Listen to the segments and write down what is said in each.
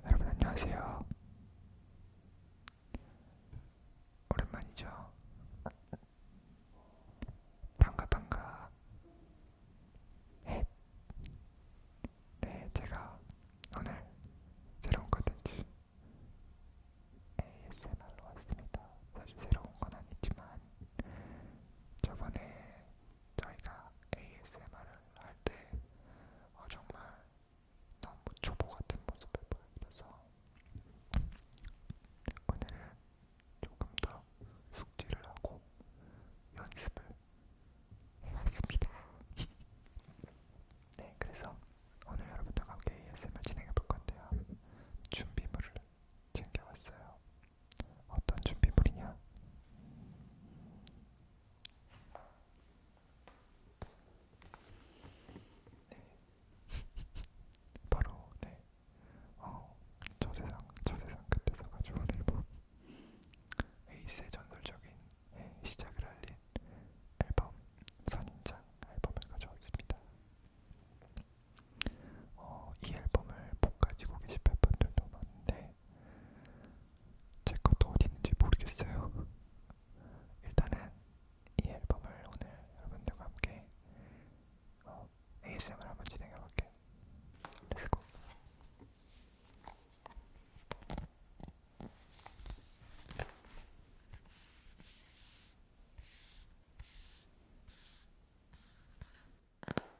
여러분 안녕하세요. 오랜만이죠. 반가 반가. 헷. 네, 제가 오늘 새로운 컨텐츠 ASMR로 왔습니다. 사실 새로운 건 아니지만 저번에 저희가 ASMR을 할때 어, 정말 너무 초보 같은 모습을 보여드려서 오늘은 조금 더 숙지를 하고 연습을 해왔습니다. 네, 그래서 오늘 여러분들과 함께 ASMR 진행해 볼 건데요. 준비물을 챙겨왔어요. 어떤 준비물이냐? 네. 바로 네. 어, 저세상, 저세상 끝에서 가져온 앨범 뭐 에이스의 전설적인 네, 시작을 알린 앨범 선인장 앨범을 가져왔습니다. 어, 이 앨범을 못 가지고 계신 팬분들도 많은데 제 것도 어디 있는지 모르겠어요. 일단은 이 앨범을 오늘 여러분들과 함께 어, ASMR 한번 진행해 볼게요. Let's go.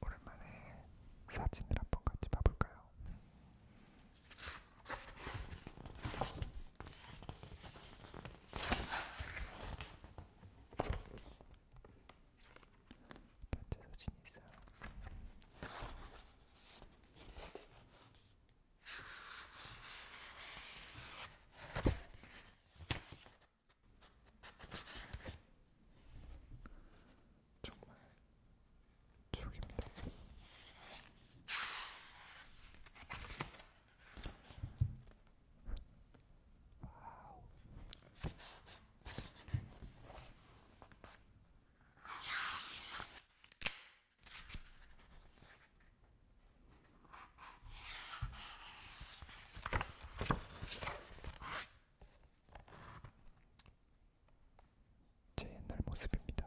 오랜만에 사진을 한 번 같이 봐볼까요? 단체 사진이 있어요. 정말 추억입니다. 제 옛날 모습입니다.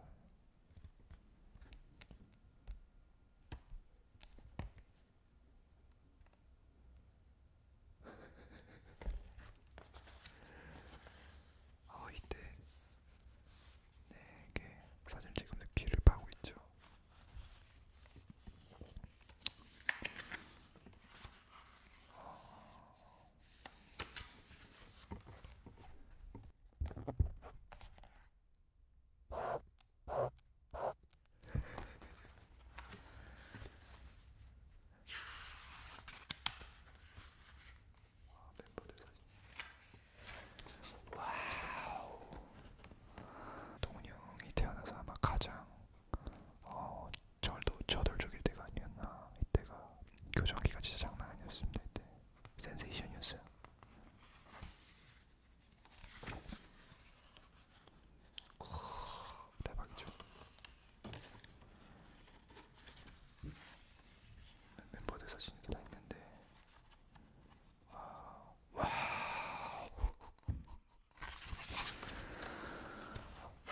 어, 이때 내게 사진 찍으면 귀를 파고 있죠. 어... 와, 멤버들 사진. 와우. 동훈이 형이 태어나서 아마 가장 어, 절도 저돌적일 때가 아니었나. 이때가 교정기가 진짜 장난 아니었습니다. 이때 센세이션이었어요. 대박이죠. 멤버들 사진 이렇게 다 있는데 와우 와우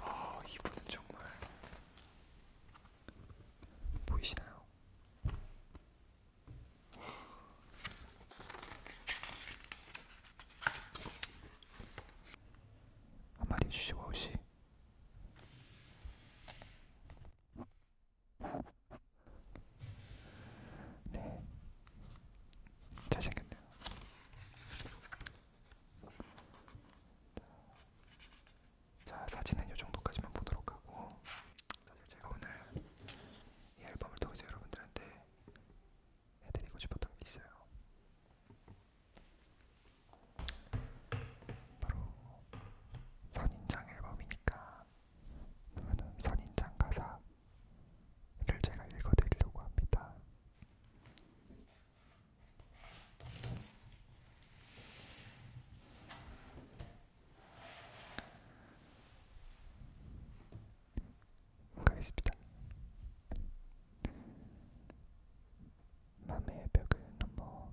아 이분은 정말 보이시나요? 한마디 해주시고 아우씨 네 잘생겼네요 자 사진은 요정도까지만 보도록 하고 사실 제가 오늘 이 앨범을 통해서 여러분들한테 해드리고 싶었던 게 있어요. 바로 선인장 앨범이니까 저는 선인장 가사를 제가 읽어드리려고 합니다. 가겠습니다. 맘의 벽을 넘어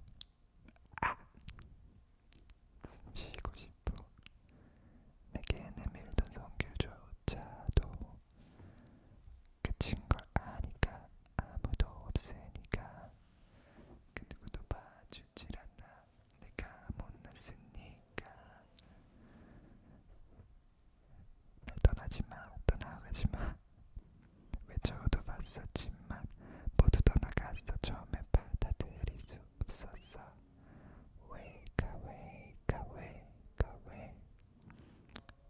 아! 숨쉬고 싶어 내게 내밀던 성길조차도 끝인 걸 아니까 아무도 없으니까 그 누구도 봐주질 않나 내가 못났으니까 날 떠나지마 떠나가지마 외쳐도 봤었지만 모두 떠나갔어 처음에 받아들일 수 없었어 왜가 왜가 왜가 왜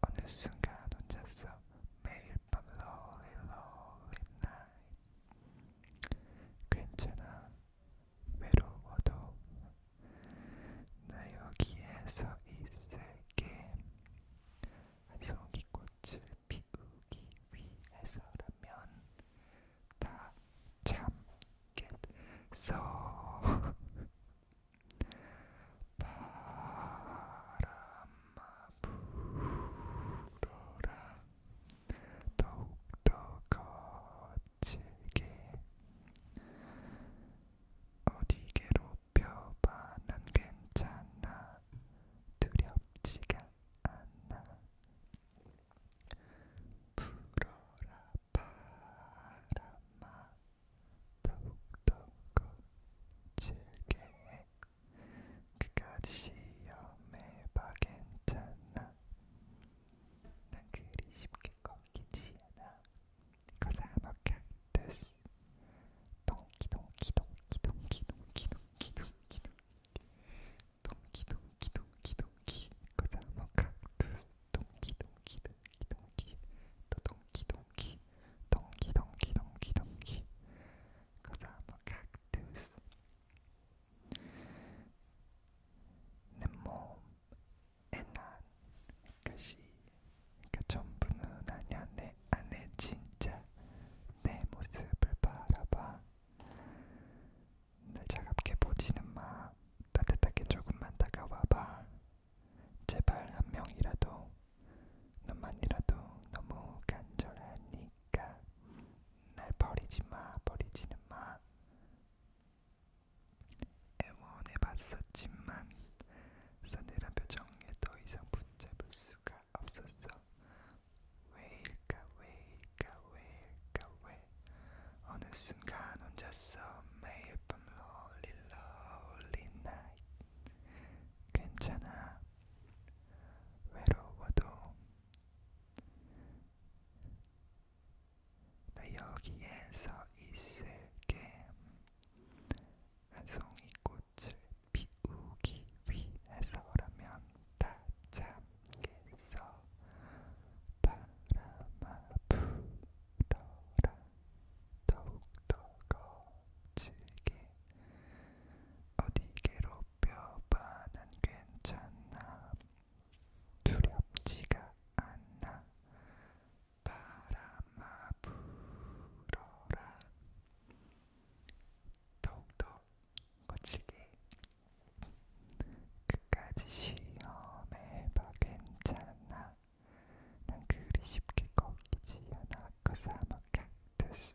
어느 순간 혼자서 매일 밤 lonely lonely night 괜찮아 외로워도 나 여기에서 있을게 송이 꽃을 피우기 위해서라면 다 참겠어 바람아 불어라 더욱더 거칠게 어디 괴롭혀봐 난 괜찮아 두렵지가 않아 불어라 바람아 더욱더 거칠게 그까지 시험해봐 괜찮아 난 그리 쉽게 꺾이지 않아. Cause I'm a cactus. 동키 동키 동키 동키 동키 동키 동키 동키 동키 동키 동키 Cause I'm a cactus. 동키 동키 동키 동키 또 동키 동키 동키 동키 동키 동키 Cause I'm a cactus. 내 몸에 난 것이 그러니까 전부는 아니야 내 안에 진짜 내 모습을 바라봐 날 차갑게 보지는 마 따뜻하게 조금만 다가와봐 제발 한 명이라도 너만이라도 너무 간절하니까 날 버리지 마, 버리지는 마. 애원해봤었지만 싸늘한 표정에 더 이상 붙잡을 수가 없었어. 왜일까, 왜일까, 왜일까, 왜? 어느 순간 혼자서 매일 밤 롤리 롤리 나이. 괜찮아. 외로워도 나 네, 여기에서 있을게. 송이 꽃을 피우기 위해서라면 다 참겠어. 바람아 불어라 더욱더 거칠게. 어디게로 뼈바는 괜찮나 두렵지가 않나 바람아 불어라 더욱더 거칠게 끝까지 시험해봐 괜찮아 난 그리 쉽게 꺾이지 않아 Cause I'm a cactus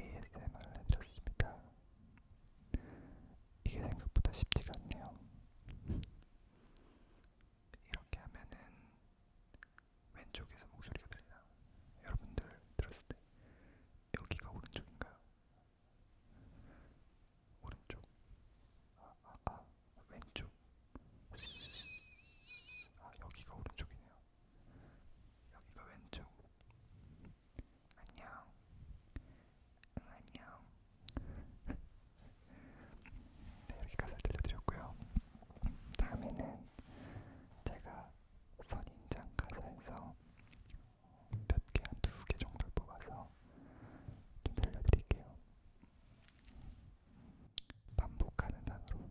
ASMR을 해드렸습니다. 이게 생각보다 쉽지가 않네요. 이렇게 하면은 왼쪽에서 목소리가 들리나? 여러분들 들었을 때 여기가 오른쪽인가요? 오른쪽, 아, 아, 아 왼쪽, 아 여기가 오른쪽이네요. 여기가 왼쪽. 안녕. 응, 안녕. 네, 여기까지 들려드렸고요. 다음에는 제가 선인장 가사에서 몇 개, 한 두 개 정도 뽑아서 좀 들려드릴게요. 반복하는 단어로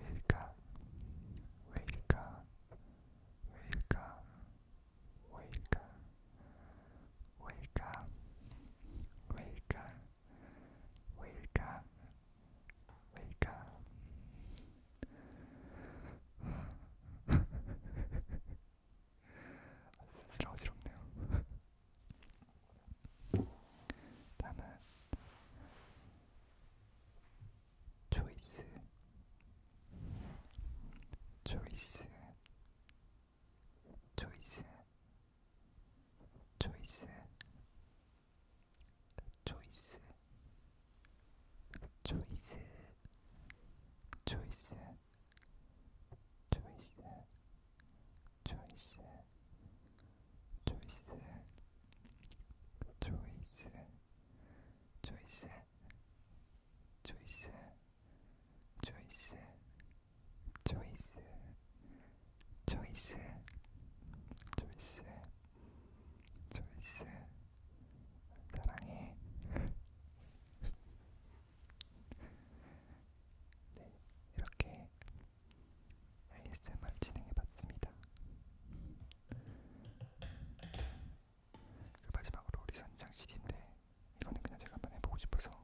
왜일까? 왜일까? 왜일까? 왜일까? 왜일까? 왜일까? 왜일까? 왜일까? 슬슬 어지럽네요. 다음은 choice choice choice choice choice choice choice choice choice choice choice 조이스 조이스 조이스 조이스 조이스 조이스 조이스 사랑해 네 이렇게 ASMR 진행해봤습니다. 마지막으로 우리 선인장 CD인데 이거는 그냥 제가 한번 해보고 싶어서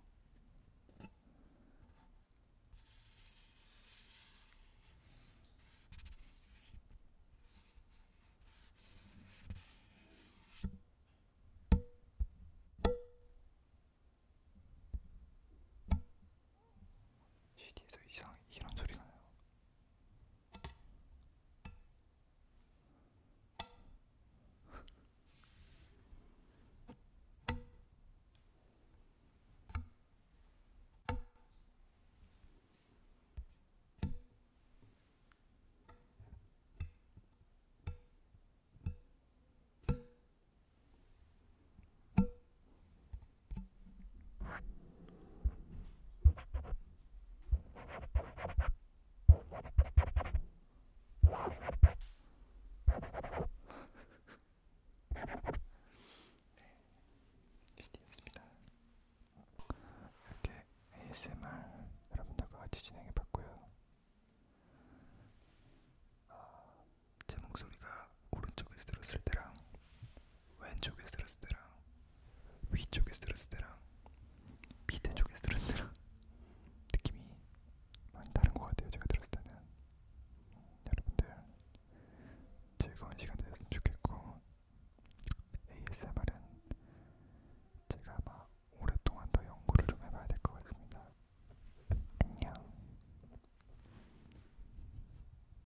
CD에서 이상 이런 소리가 나요. 일이었습니다. 이렇게 ASMR 여러분들과 같이 진행해 봤고요. 어, 아, 제 목소리가 오른쪽에서 들었을 때랑 왼쪽에서 들었을 때랑 위쪽에서 들었을 때랑 밑에 쪽에서 들었을 때랑 느낌이 많이 다른 것 같아요. 제가 들었을 때는 여러분들 즐거운 시간 되셨으면 좋겠고 ASMR은 제가 아마 오랫동안 더 연구를 좀 해봐야 될 것 같습니다. 안녕.